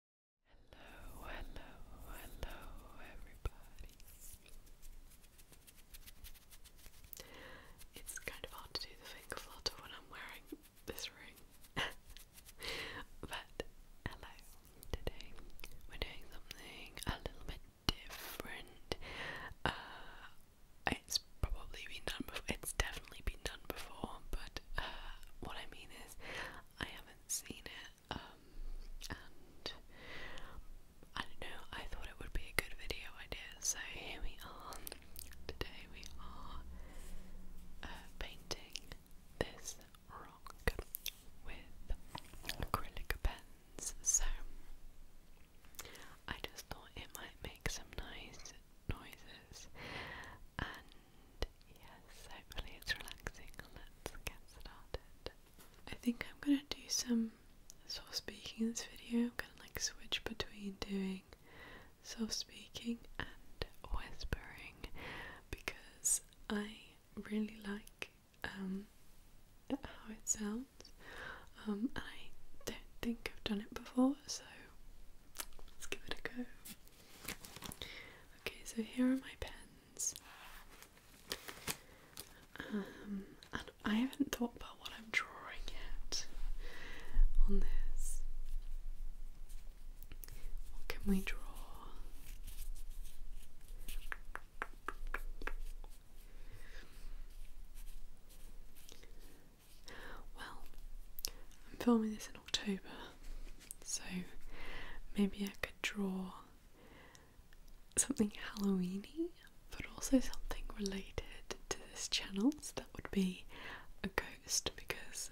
Hello, hello, hello, everybody. It's kind of hard to do the finger flutter when I'm wearing this ring. but hello, today we're doing something a little bit different. Uh, it's probably been done before, it's definitely been done before, but uh, what I mean is, I haven't seen it, um, and I don't know, I thought it would be a good video idea, so here we are. Today we are uh, painting this rock with acrylic pens, so I just thought it might make some nice noises yes, hopefully it's relaxing. Let's get started. I think I'm gonna do some soft speaking in this video. I'm gonna like switch between doing soft speaking and whispering because I really like um how it sounds. Um I don't think I've done it before, so let's give it a go. Okay, so here are my pens. Um, I haven't thought about what I'm drawing yet on this. What can we draw? Well, I'm filming this in October, so maybe I could draw something Halloweeny, but also something related to this channel. So that would be a ghost because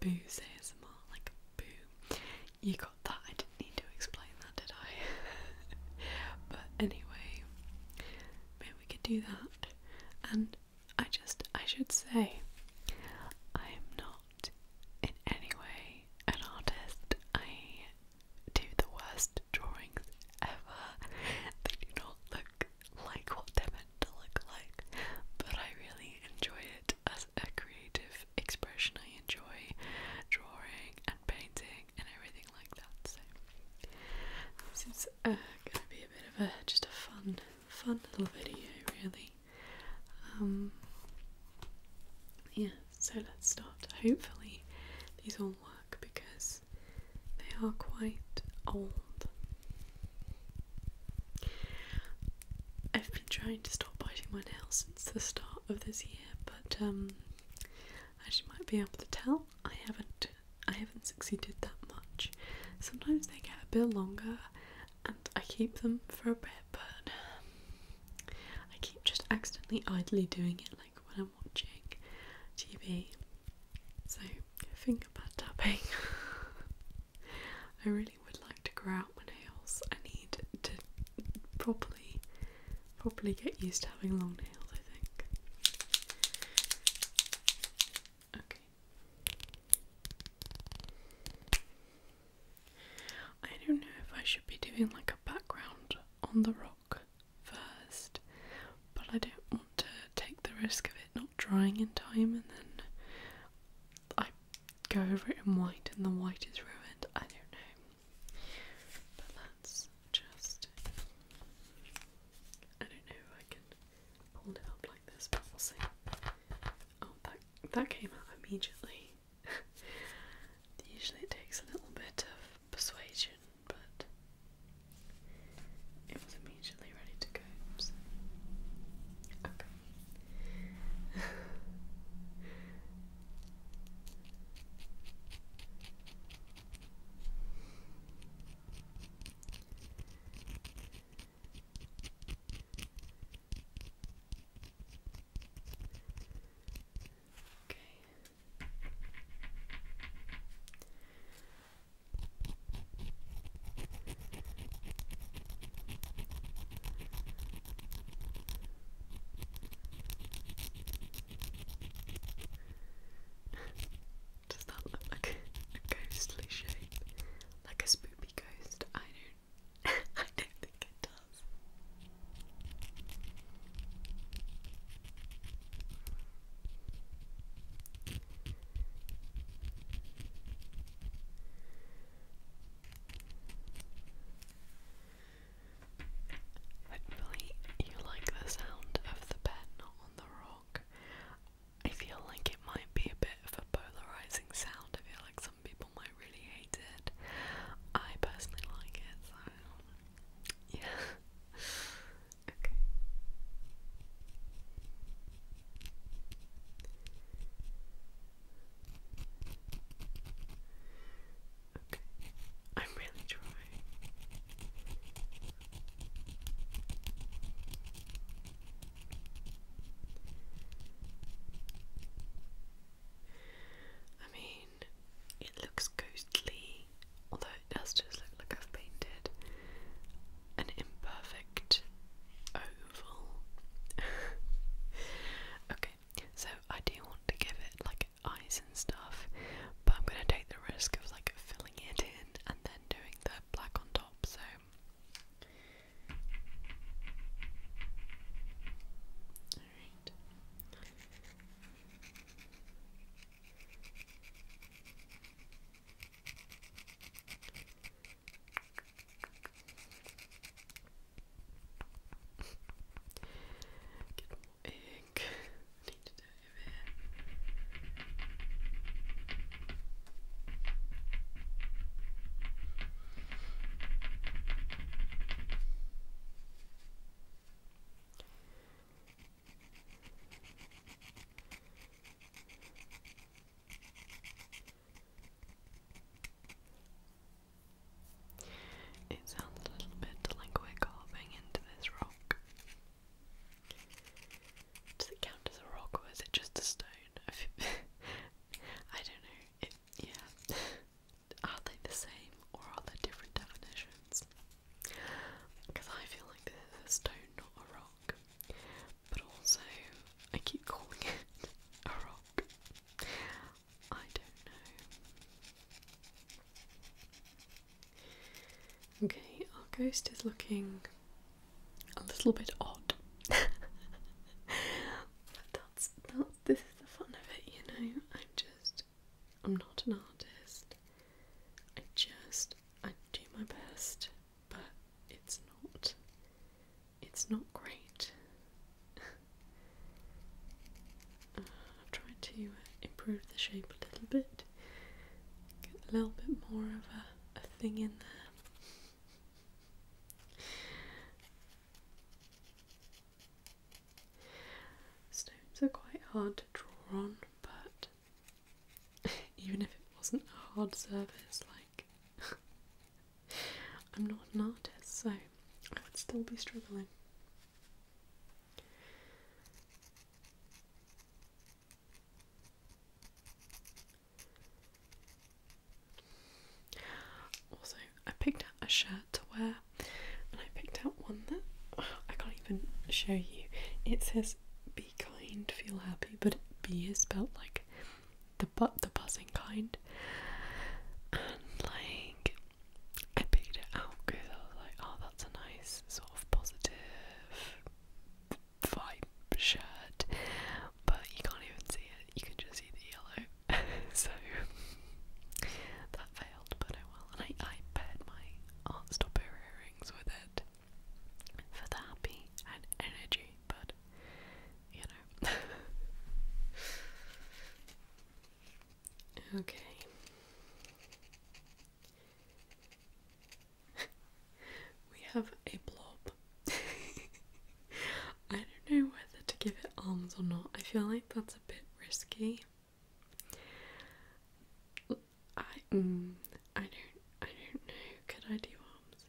Boo Boo's ASMR, like Boo. You got that. I didn't need to explain that, did I? but anyway, maybe we could do that. And I just, I should say, I am not not in any way an artist. I do the worst drawings ever. They do not look like what they're meant to look like, but I really enjoy it as a creative expression. I enjoy drawing and painting and everything like that. So this is uh, gonna be a bit of a just a fun, fun little video, really. Um, yeah, so let's start. Hopefully, these all work because they are quite old. I've been trying to stop biting my nails since the start of this year, but um, as you might be able to tell, I haven't I haven't succeeded that much. Sometimes they get a bit longer and I keep them for a bit, but I keep just accidentally idly doing it like when I'm watching TV. So, finger pad tapping. I really would like to grow out my nails. I need to properly, properly get used to having long nails, I think. Okay. I don't know if I should be doing like a background on the rock first, but I don't want to take the risk of it not drying in time and then I go over it in white and the white is ruined. I don't know. But that's just. I don't know I can hold it up like this, but we'll see. Oh, that that came out immediately. Usually it takes a little bit of persuasion, but it was immediately ready to go. Okay. Okay. Does that look ghostly shape? Like a spoopy ghost? I don't I don't think it does. Hopefully, you like the sound of the pen on the rock. I feel like it might be a bit of a polarizing sound like some people might really hate it. I personally like it, yeah. okay. Okay. I'm really trying. I mean, it looks ghostly, although it does just look like I've painted an imperfect oval. okay, so I do want to give it like eyes and stuff, but I'm gonna take the risk of like filling it in and then doing the black on top, so all right. Get more ink. I need to dive in. It sounds a little bit like we're carving into this rock. Does it count as a rock or is it just a stone? I don't know yeah. Are they the same or are there different definitions? Because I feel like this is a stone, not a rock. But also, I keep calling it a rock. I don't know. Okay, our ghost is looking a little bit odd. that's that's this is the fun of it, you know. I'm just I'm not an artist. I just I do my best, but it's not it's not great. Uh, I've tried to uh, improve the shape a little bit, get a little bit more of a thing in there. Stones are quite hard to draw on, but even if it wasn't a hard surface, like I'm not an artist, so I would still be struggling. Also, I picked out a shirt to wear, and I picked out one that I can't even show you. It says "Be kind, feel happy," but "B" is spelled like the butt, the buzzing kind, and like I picked it out because I was like, "Oh, that's a nice sort of positive." vibe shirt but you can't even see it, you can just see the yellow. so that failed, but oh well. And I, I paired my Artstopper earrings with it for the happy and energy, but you know. okay. we have a blob I don't know whether to give it arms or not. I feel like that's a bit risky. I mm, I don't I don't know. Could I do arms?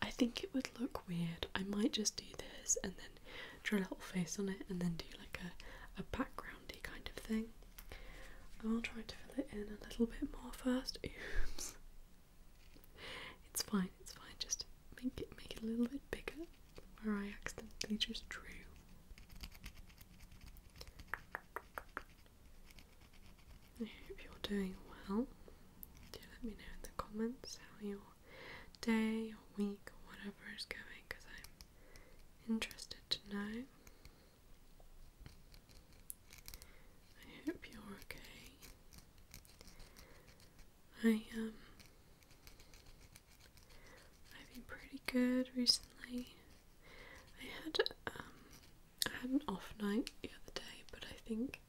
I think it would look weird. I might just do this and then draw a little face on it and then do like a a backgroundy kind of thing. I'll try to fill it in a little bit more first. Oops. It's fine, it's fine, just make it make it a little bit bigger where I accidentally just drew. I hope you're doing well. Do let me know in the comments how your day week whatever is going because I'm interested to know. I hope you're okay. I um I've been pretty good recently. I had um I had an off night the other day, but I think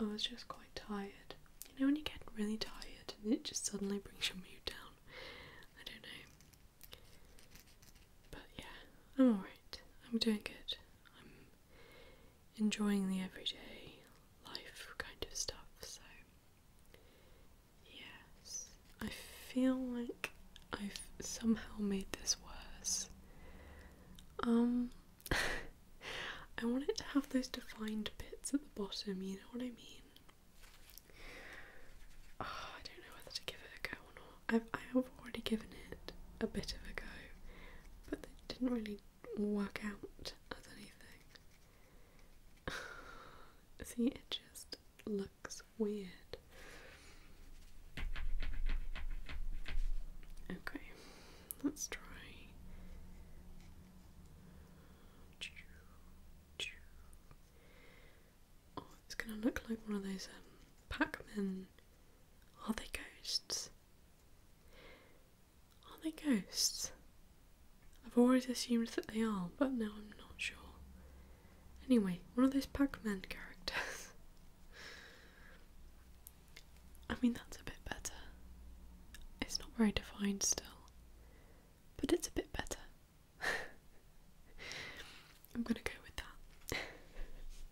I was just quite tired. You know when you get really tired and it just suddenly brings your mood down. I don't know. But yeah, I'm alright. I'm doing good. I'm enjoying the everyday life kind of stuff. So, yes, I feel like I've somehow made this worse. Um, I wanted to have those defined bits at the bottom, you know what I mean? Ah, I don't know whether to give it a go or not. I've, I have already given it a bit of a go, but it didn't really work out as anything. See, it just looks weird. Okay, let's try. Oh, it's gonna look like one of those um, Pac-Man. Are they ghosts? Are they ghosts? I've always assumed that they are, but now I'm not sure. Anyway, one of those Pac Man characters. I mean, that's a bit better. It's not very defined still, but it's a bit better. I'm gonna go with that.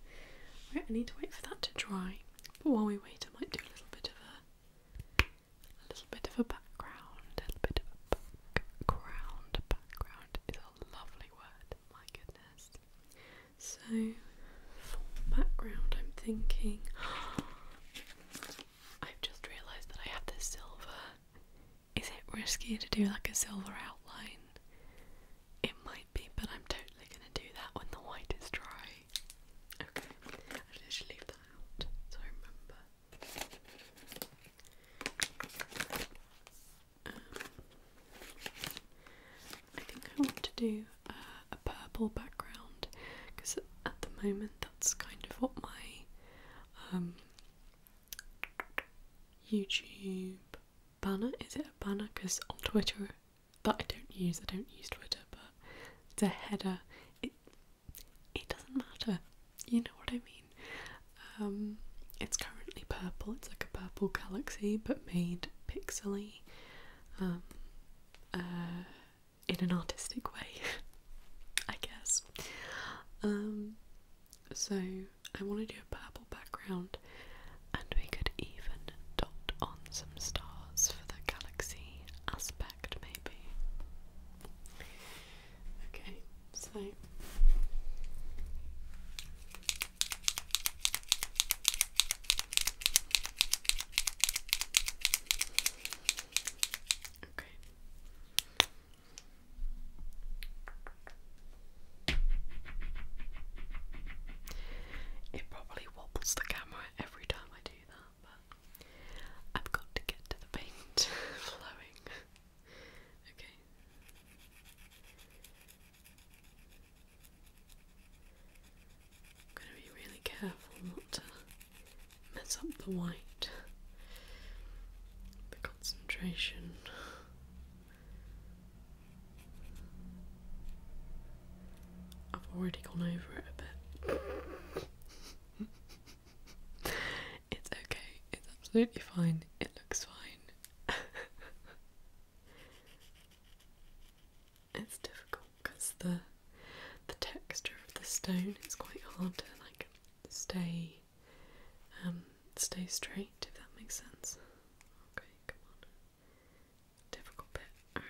right, I need to wait for that to dry, but while we wait, I might do a little bit of a a little bit of a background, a little bit of a background. Background is a lovely word, my goodness. So, for background, I'm thinking. I've just realised that I have this silver. Is it riskier to do like a silver outline? It might be, but I'm totally gonna do that when the white is dry. Okay, I'll leave that out so I remember. Um, I think I want to do uh, a purple background because at the moment that's kind of what my um, YouTube banner is it a banner? Because on Twitter that I don't use. I don't use Twitter, but it's a header. It it doesn't matter. You know what I mean. Um, it's currently purple. It's like a purple galaxy, but made pixely, um, uh, in an artistic way, I guess. Um, so I want to do a purple background, and we could even dot on some stars for the galaxy aspect, maybe. Okay, so. It probably wobbles the camera every time I I've got to get to the paint flowing. okay. I'm going to be really careful not to mess up the white, the concentration. I've already gone over it a bit. it's okay, it's absolutely fine, it looks fine. it's difficult because the the texture of the stone is quite hard to like stay um, stay straight if that makes sense. Okay, come on difficult bit. Alright.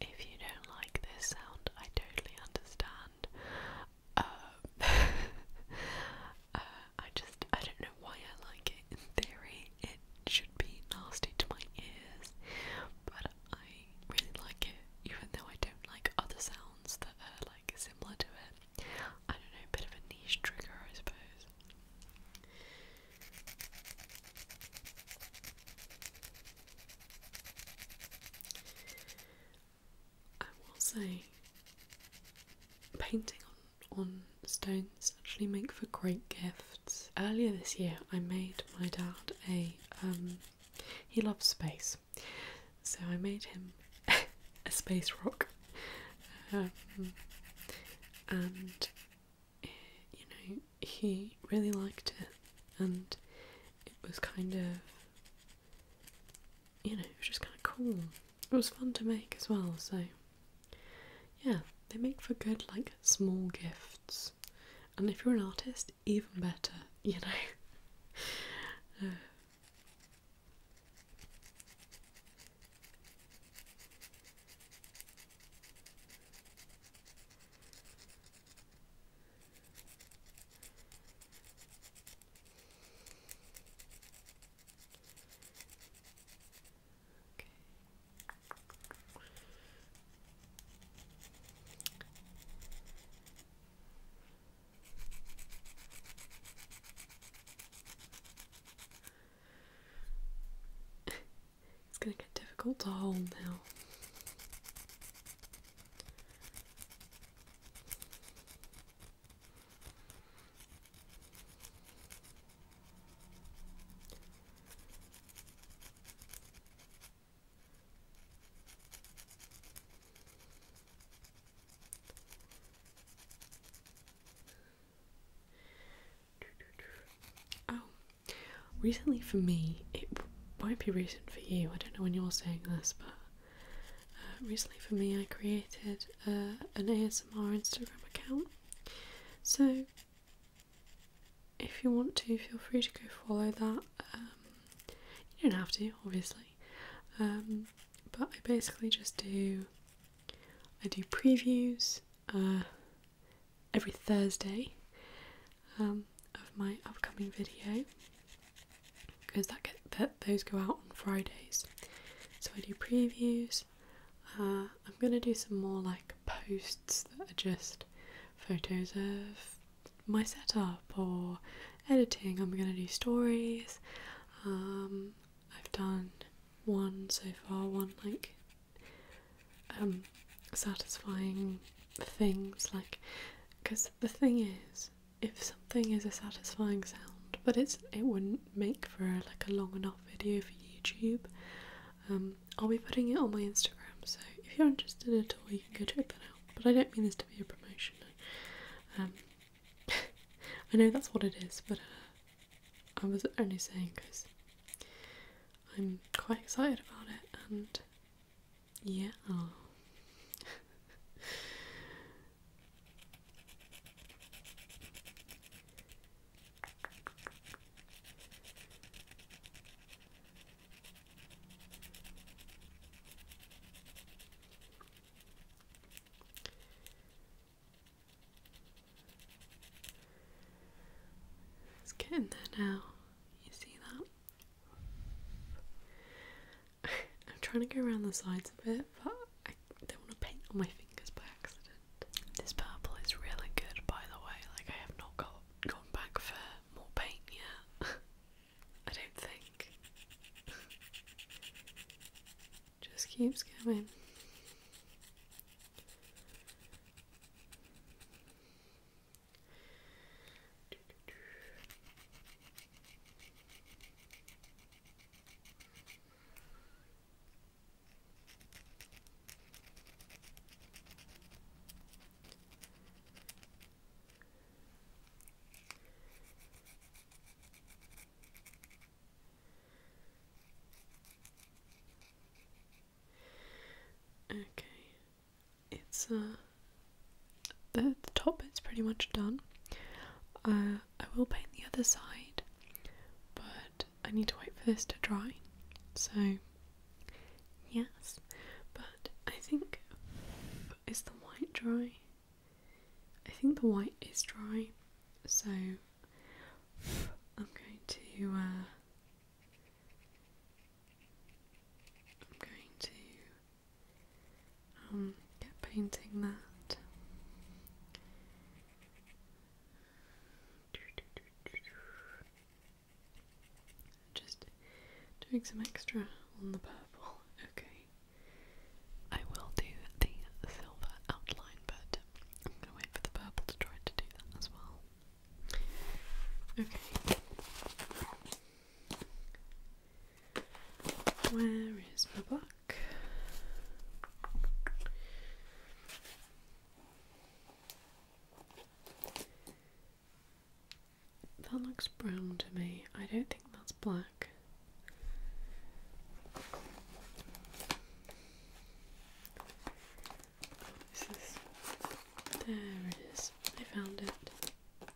If you don't like this sound, I totally understand. Uh, uh, I just I don't know why I like it. In theory, it should be nasty to my ears, but I really like it, even though I don't like other sounds that are like similar to it. I don't know, a bit of a niche trigger, I suppose. I will say painting on, on stones actually make for great gifts. Earlier this year I made my dad a um, he loves space. So I made him a space rock. Um, and you know he really liked it and it was kind of you know, it was just kind of cool. It was fun to make as well, so yeah, they make for good, like, small gifts. And if you're an artist, even better, you know. Uh. it's going to get difficult to hold now. Oh, recently for me, it won't be recent for you. I don't know when you're saying this, but uh, recently, for me, I created uh, an ASMR Instagram account. So, if you want to, feel free to go follow that. Um, you don't have to, obviously. Um, but I basically just do. I do previews uh, every Thursday um, of my upcoming video because that get that those go out on Fridays. So I do previews. Uh, I'm gonna do some more like posts that are just photos of my setup or editing. I'm gonna do stories. Um, I've done one so far, one like um, satisfying things like because the thing is if something is a satisfying sound, but it's it wouldn't make for like a long enough video for YouTube. Um, I'll be putting it on my Instagram, so if you're interested at all, you can go check that out. But I don't mean this to be a promotion. Um, I know that's what it is, but uh, I was only saying because I'm quite excited about it, and yeah. It's getting there now. You see that? I'm trying to go around the sides of it, but I don't want to paint on my fingers by accident. This purple is really good, by the way. Like, I have not got gone back for more paint yet. I don't think. Just keeps going. Okay, it's a uh, the, top bit's pretty much done. Uh, I will paint the other side, but I need to wait for this to dry. So, yes, but I think is the white dry? I think the white is dry, so I'm going to. Uh, I'm going to um, painting that. Just doing some extra on the purple. Okay. I will do the silver outline, but I'm gonna wait for the purple to try to do that as well. Okay. Where is my book? That looks brown to me. I don't think that's black. This is. There it is. I found it.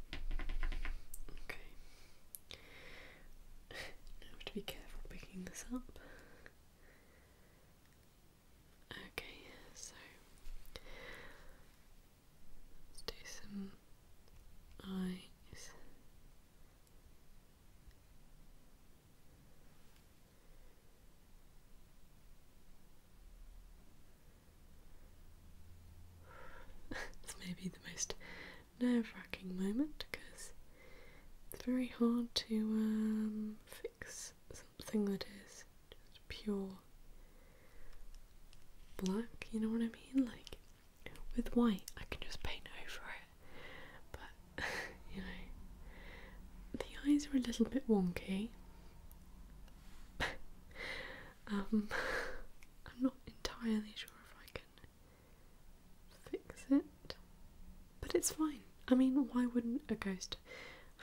Okay. I have to be careful picking this up. Okay, so let's do some eyes it's maybe the most nerve-wracking moment because it's very hard to um, fix something that is just pure black, you know what I mean? Like, with white, I can just paint over it, but you know, the eyes are a little bit wonky. Um, I'm not entirely sure if I can fix it, but it's fine. I mean, why wouldn't a ghost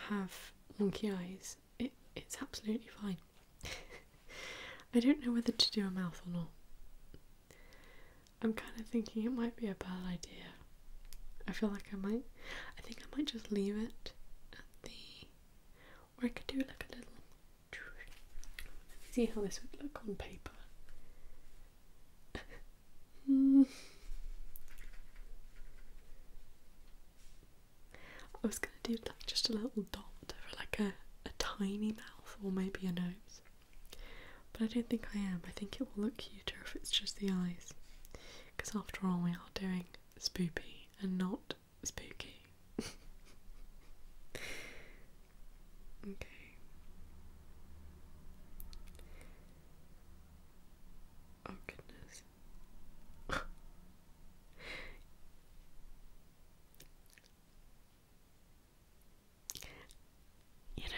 have monkey eyes? It, it's absolutely fine. I don't know whether to do a mouth or not. I'm kind of thinking it might be a bad idea. I feel like I might. I think I might just leave it at the. I could do like a little. See how this would look on paper. I was gonna do like just a little dot for like a, a tiny mouth or maybe a nose. But I don't think I am. I think it will look cuter if it's just the eyes. Because after all, we are doing spoopy and not spooky. okay. Oh goodness. you know,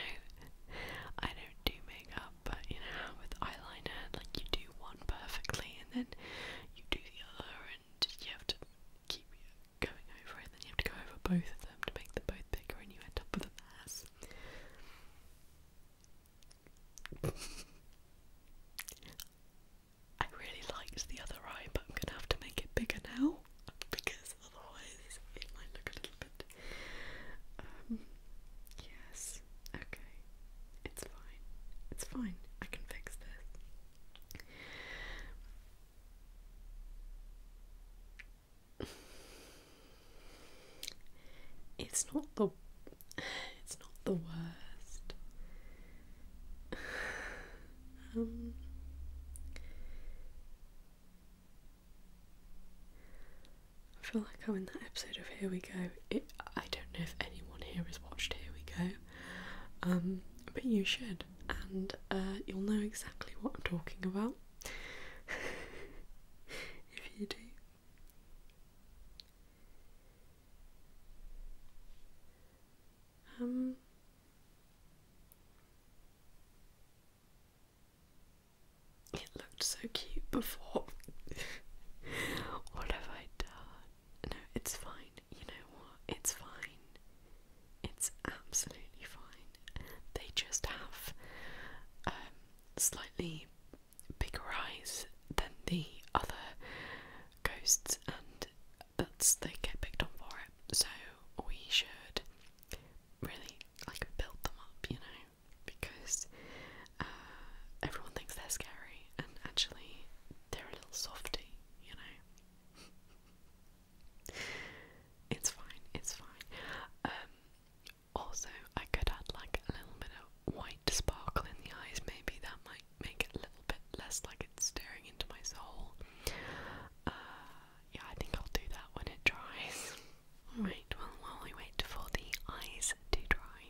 I don't do makeup, but you know, with eyeliner, like you do one perfectly and then you do the other, and you have to keep going over, and then you have to go over both of them to make them both bigger, and you end up with a mass. I really liked the other eye, but I'm gonna have to make it bigger now because otherwise it might look a little bit. Um, yes, okay. It's fine. It's fine. I can fix this. It's not the it's not the worst. Um, I feel like I'm in that episode of Here We Go. I don't know if anyone here has watched Here We Go. Um, but you should, and uh, you'll know exactly what I'm talking about if you do. Um. it looked so cute before. what have I done? No, it's fine you know what? It's fine. It's absolutely fine. They just have um, slightly bigger eyes than the other ghosts, and that's they get picked on for it. So we should really like build them up, you know, because uh, everyone thinks they're scary, and actually they're a little softy, you know. it's fine, it's fine. Um, also, I could add like a little bit of white sparkle in the eyes. Maybe that might make it a little bit less like it's staring into my soul. Uh, yeah, I think I'll do that when it dries. Alright, well, while we wait for the eyes to dry,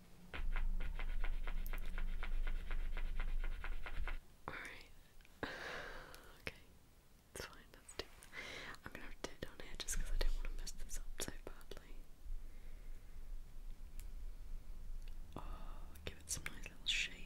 Alright. okay. It's fine, let's do I'm gonna do it down here just because I don't want to mess this up so badly. Oh, give it some nice little shading.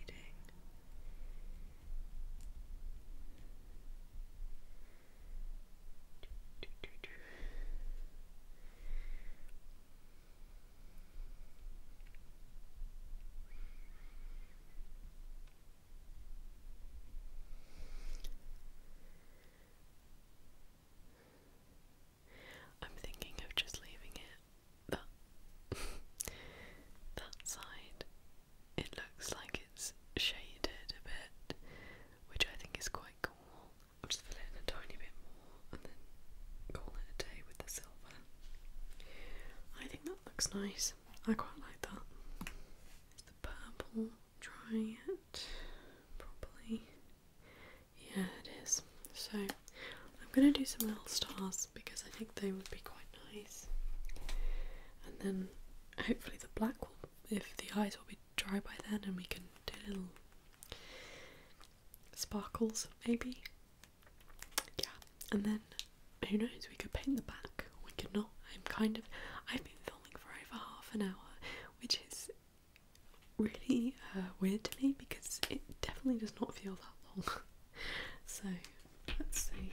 I'm thinking of just leaving it that that side. It looks like it's shaded a bit, which I think is quite cool. I'll just fill in a tiny bit more and then call it a day with the silver. I think that looks nice. I quite like that. Is the purple dry yet? Properly. Yeah, it is. So I'm gonna do some little stars because I think they would be quite nice. And then hopefully the black will if the eyes will be dry by then and we can do little sparkles, maybe. Yeah, and then who knows? We could paint the back. We could not. I'm kind of. I've been filming for over half an hour, which is really uh, weird to me because it definitely does not feel that long. so let's see.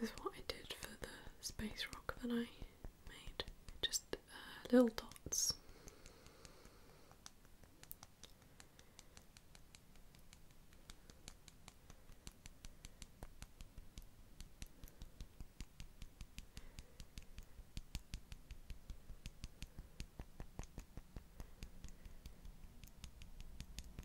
This is what I did for the space rock that I made. Just uh, little dots.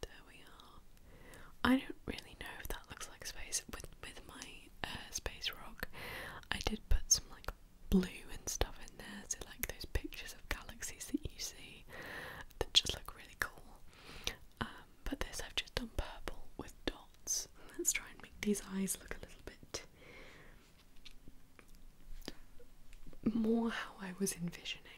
There we are. I don't really know if that looks like space. With with my uh, space rock, I did put some like blue and stuff in there, so like those pictures of galaxies that you see that just look really cool. Um, but this I've just done purple with dots. Let's try and make these eyes look a little bit more how I was envisioning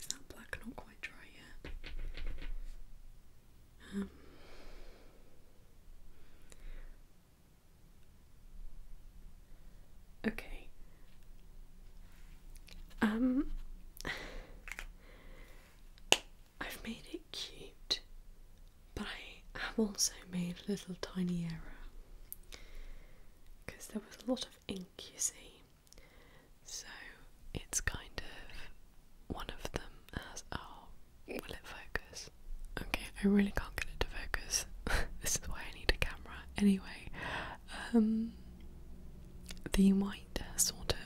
is that black not quite dry yet? Um. okay. Um, I've made it cute, but I have also made a little tiny error because there was a lot of ink, you see. So it's kind of one of them as oh, will it focus? Okay, I really can't get it to focus. this is why I need a camera. Anyway, um, the white sort of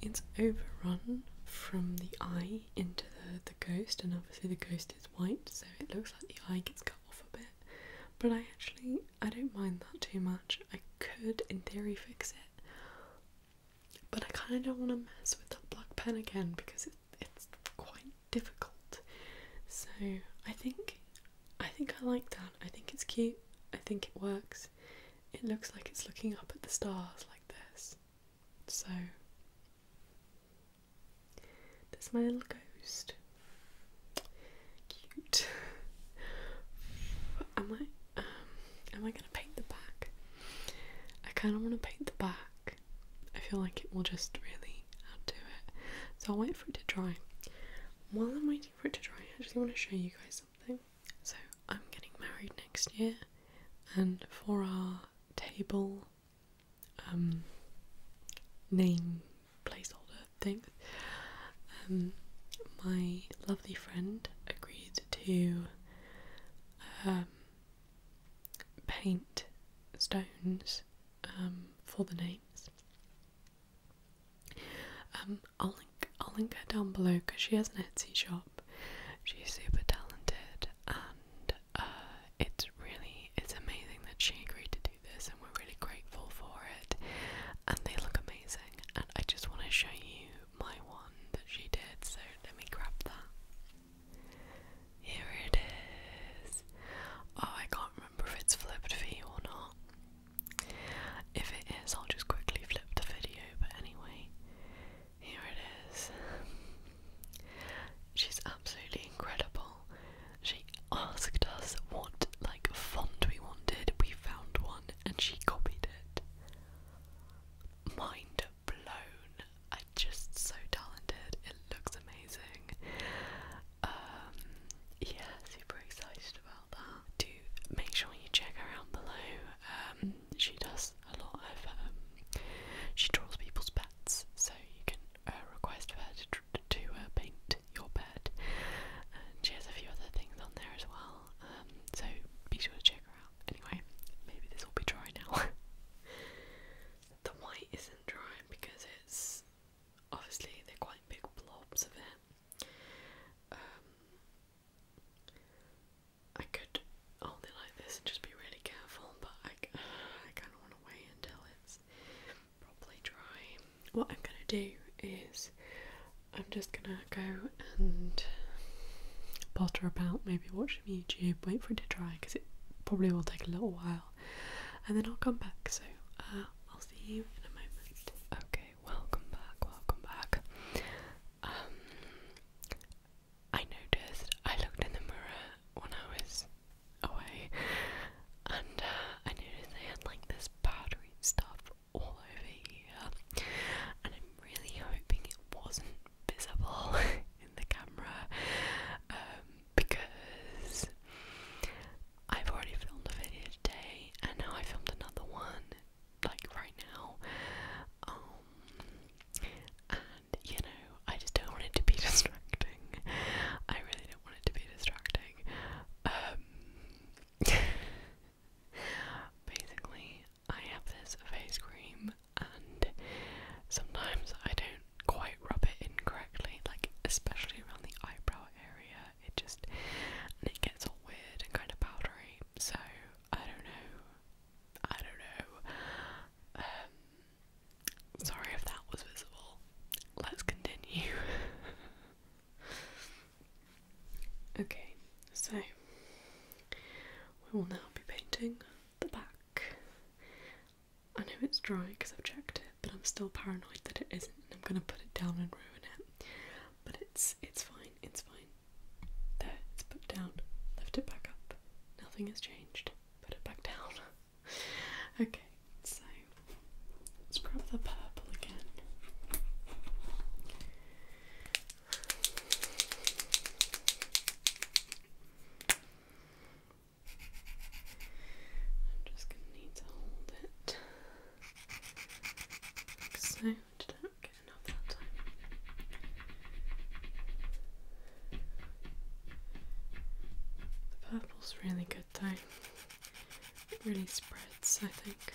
it's overrun from the eye into the the ghost, and obviously the ghost is white, so it looks like the eye gets off a bit. But I actually I don't mind that too much. I could in theory fix it. But I kind of don't want to mess with that black pen again because it, it's quite difficult. So I think I think I like that. I think it's cute. I think it works. It looks like it's looking up at the stars like this. So there's my little ghost. Cute. am I um am I gonna paint the back? I kinda wanna paint the back. I feel like it will just really add to it. So I'll wait for it to dry. While I'm waiting for it to dry, I just wanna show you guys something. So I'm getting married next year and for our table um, name placeholder thing. Um, my lovely friend agreed to um, paint stones for the names. I'll link I'll link her down below because she has an Etsy shop. She's super talented and uh, it's really it's amazing that she agreed to do this, and we're really grateful for it. And they look amazing. And I just want to show you my one that she did. So let me grab that. Here it is. Oh, I can't remember if it's flipped for you or not. If it is, I'll just quickly flip the video. But anyway, here it is. She's absolutely incredible. She asked us what like font we wanted. We found one and she copied it. Mind blown. I just so talented. It looks amazing. Um, yeah, super excited about that. Do make sure you check her out below. Um, she does a lot of um, she draws people's pets so you can uh, request her to draw to uh, paint your bed. And she has a few other things on there as well. Um, so be sure to check her out. Anyway, maybe this will be dry now. the white isn't dry because it's obviously they're quite big blobs of it. Um, I could hold it like this and just be really careful, but I, uh, I kind of want to wait until it's properly dry. What I'm gonna do is I'm just gonna go and potter about, maybe watch some YouTube, wait for it to dry because it probably will take a little while, and then I'll come back. So uh, I'll see you in a moment. Okay, welcome back, welcome back. Um, I noticed I looked in the mirror when I was away, and uh, I noticed they had like this powdery stuff all over here, and I'm really hoping it wasn't visible in the camera um, because I've already filmed a video today, and now I filmed another one like right now. Um, and you know, I just don't want it to be distracting. I really don't want it to be distracting. Um, basically, I have this face cream, and sometimes I don't quite rub it in correctly, like especially around the eyebrow area. It just and it gets all weird and kind of powdery. So I don't know. I don't know. Um, Sorry if that was visible. Let's continue. okay, so we will now be painting the back. I know it's dry because I've checked it, but I'm still paranoid that it isn't, and I'm gonna put it down and ruin it. But it's it's fine, it's fine. There, it's put down. Lift it back up. Nothing has changed. Put it back down. okay, so let's grab the purple again. I'm just going to need to hold it so. I didn't get enough that time. The purple's really good though. It really spreads, I think.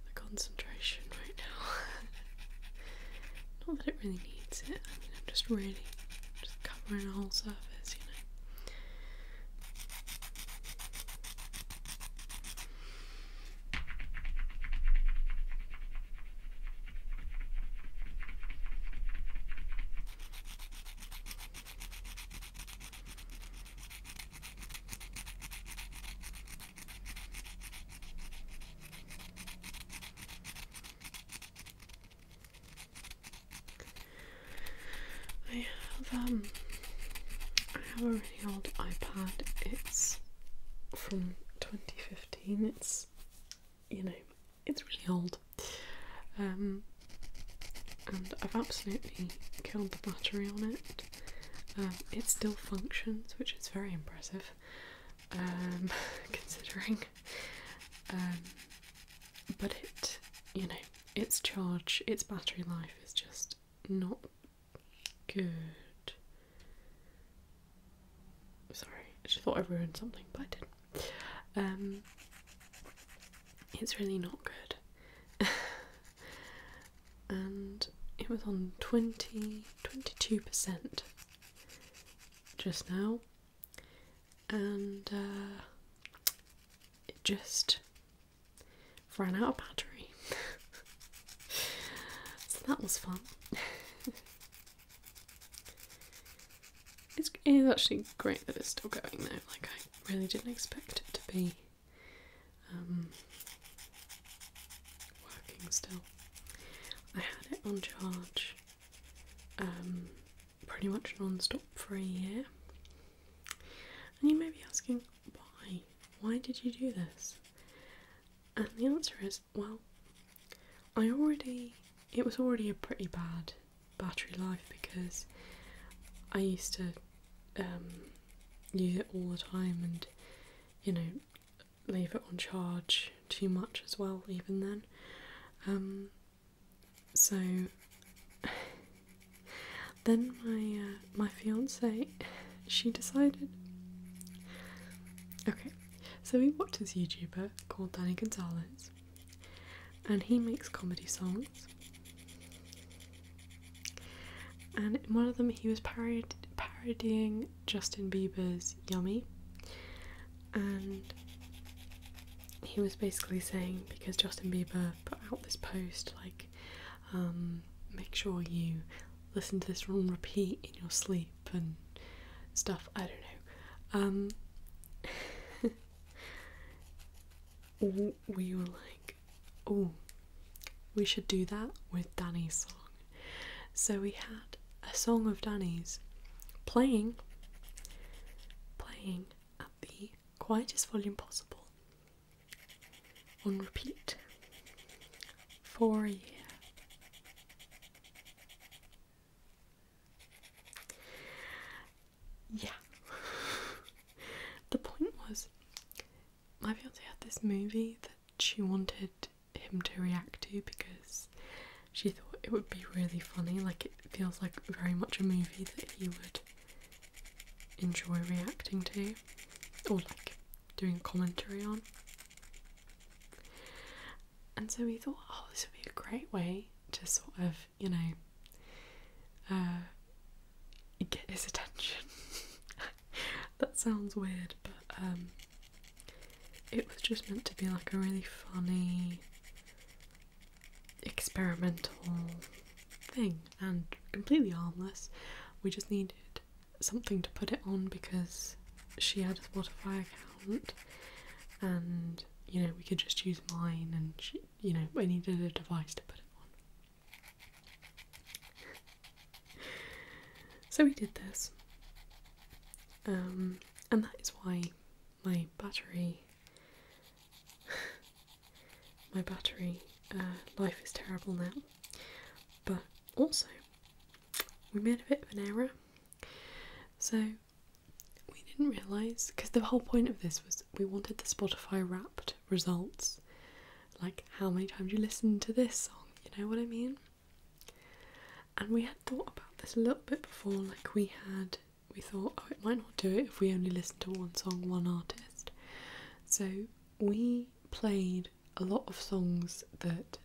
the concentration right now. Not that it really needs it, I mean, I'm just really just covering a whole surface, you know. I have um I have a really old iPad. It's from 2015. It's you know, it's really old. Um and I've absolutely killed the battery on it. Um, it still functions, which is very impressive, um, considering. Um, but it, you know, its charge, its battery life is just not good. Sorry, I just thought I ruined something, but I didn't. it's really not good. and it was on 20 22% just now and uh, it just ran out of battery so that was fun it's, it's actually great that it's still going though like I really didn't expect it to be um, working still. I had it on charge um, pretty much non stop for a year. And you may be asking, why? Why did you do this? And the answer is, well, I already, it was already a pretty bad battery life because I used to um, use it all the time and you know leave it on charge too much as well even then um, so then my uh, my fiance she decided okay so we watch this youtuber called danny gonzalez and he makes comedy songs and in one of them, he was parodying Justin Bieber's Yummy. And he was basically saying because Justin Bieber put out this post, like, um, make sure you listen to this on repeat in your sleep and stuff. I don't know. Um, we were like, oh, we should do that with Danny's song. So we had a song of Danny's playing, playing at the quietest volume possible on repeat for you. Yeah. the point was my fiance had this movie that she wanted him to react to because she thought it would be really funny. Like it feels like very much a movie that he would enjoy reacting to or like doing commentary on. And so we thought, oh, this would be a great way to sort of, you know, uh, get his attention that sounds weird, but um, it was just meant to be like a really funny experimental thing and completely harmless. We just needed something to put it on because she had a Spotify account and you know we could just use mine and she, you know I needed a device to put it on. so we did this. Um, and that is why my battery my battery uh, life is terrible now. But also we made a bit of an error. So we didn't realise because the whole point of this was we wanted the Spotify wrapped results. Like how many times you listened to this song, you know what I mean? And we had thought about this a little bit before, like we had we thought, oh it might not do it if we only listen to one song, one artist. So we played a lot of songs that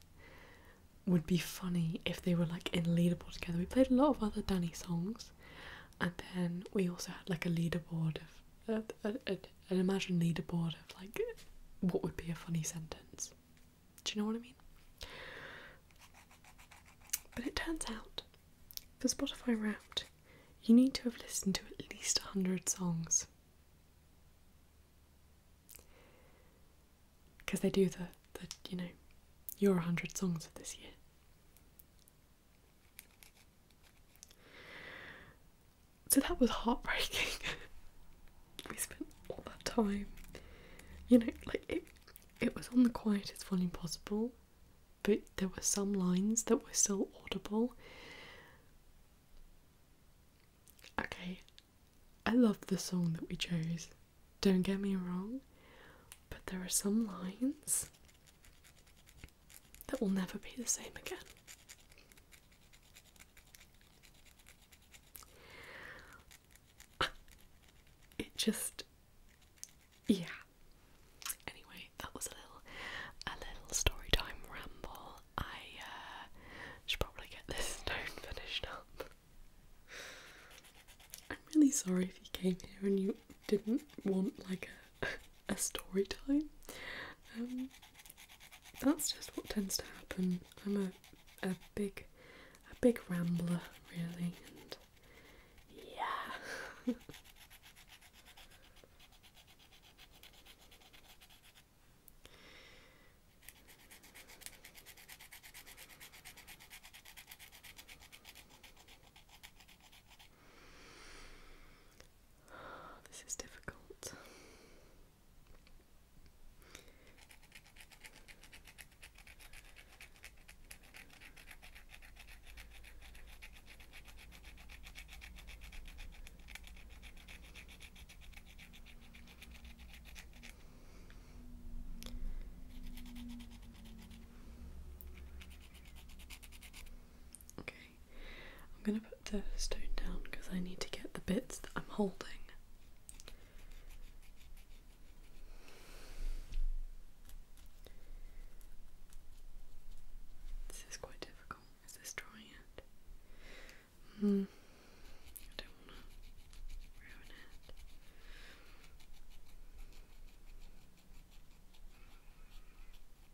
would be funny if they were like in a leaderboard together. We played a lot of other Danny songs and then we also had like a leaderboard of a, a, a, an imagined leaderboard of like what would be a funny sentence. Do you know what I mean? But it turns out for Spotify Wrapped, you need to have listened to at least 100 songs. Because they do the, the, you know, your 100 songs of this year. So that was heartbreaking. we spent all that time, you know, like it, it was on the quietest volume possible, but there were some lines that were still audible. Okay, I love the song that we chose, don't get me wrong, but there are some lines that will never be the same again. It just, yeah. Anyway, that was a little, a little story time ramble. I uh, should probably get this stone finished up. I'm really sorry if you came here and you didn't want like a a story time. Um, that's just what tends to happen. I'm a a big a big rambler really, and yeah this is difficult. Okay, I'm going to the stone down because I need to get the bits that I'm holding. This is quite difficult. Is this drawing hmm. it? Hmm.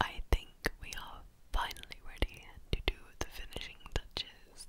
I think we are finally ready to do the finishing touches.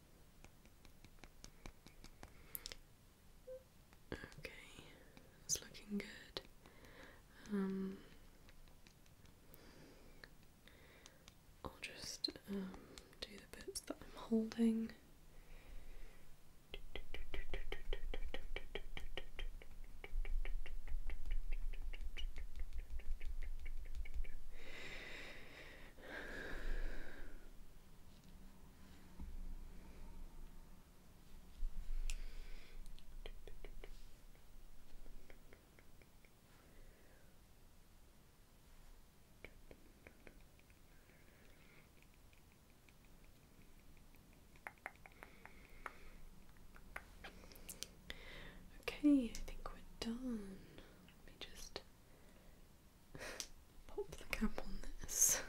Okay, it's looking good. Um, I'll just um, do the bits that I'm holding. Okay, I think we're done. Let me just pop the cap on this.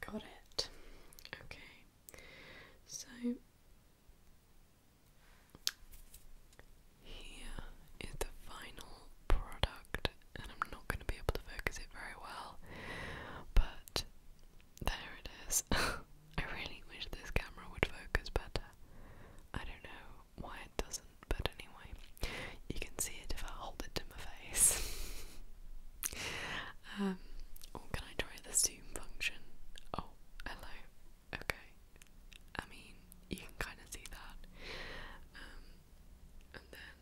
Got it. Okay. So here is the final product, and I'm not going to be able to focus it very well, but there it is. I really wish this camera would focus better. I don't know why it doesn't, but anyway, you can see it if I hold it to my face. um, oh, can I try the zoom function? Oh, hello. Okay. I mean, you can kind of see that. Um, and then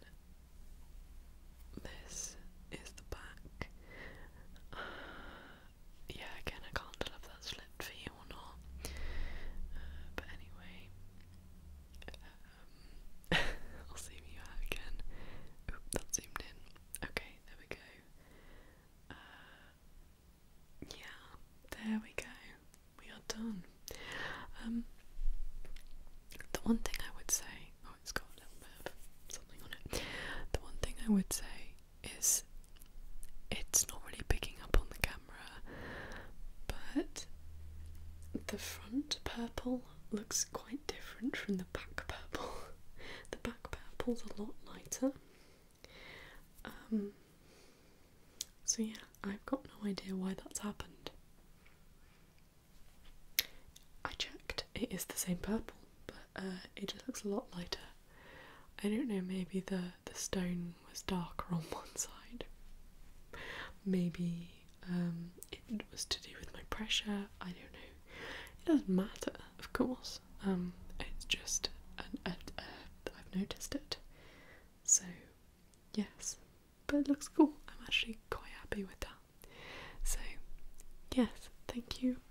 this is the back. yeah, again, I can't tell if that slipped for you or not. Uh, but anyway, um, I'll zoom you again. that zoomed in. Okay, there we go. Uh, yeah, there we go. We are done. Um, the one thing I would say, oh, it's got a little bit something on it. The one thing I would say is it's not really picking up on the camera, but the front purple looks quite different from the back purple. the back purple's a lot lighter. Um, so, yeah, I've got no idea why that's happened. I checked, it is the same purple but uh, it just looks a lot lighter. I don't know, maybe the, the stone was darker on one side. Maybe um, it was to do with my pressure, I don't know. It doesn't matter, of course. Um, it's just, I've noticed it. So, yes. But it looks cool. I'm actually quite happy with that. So, yes, thank you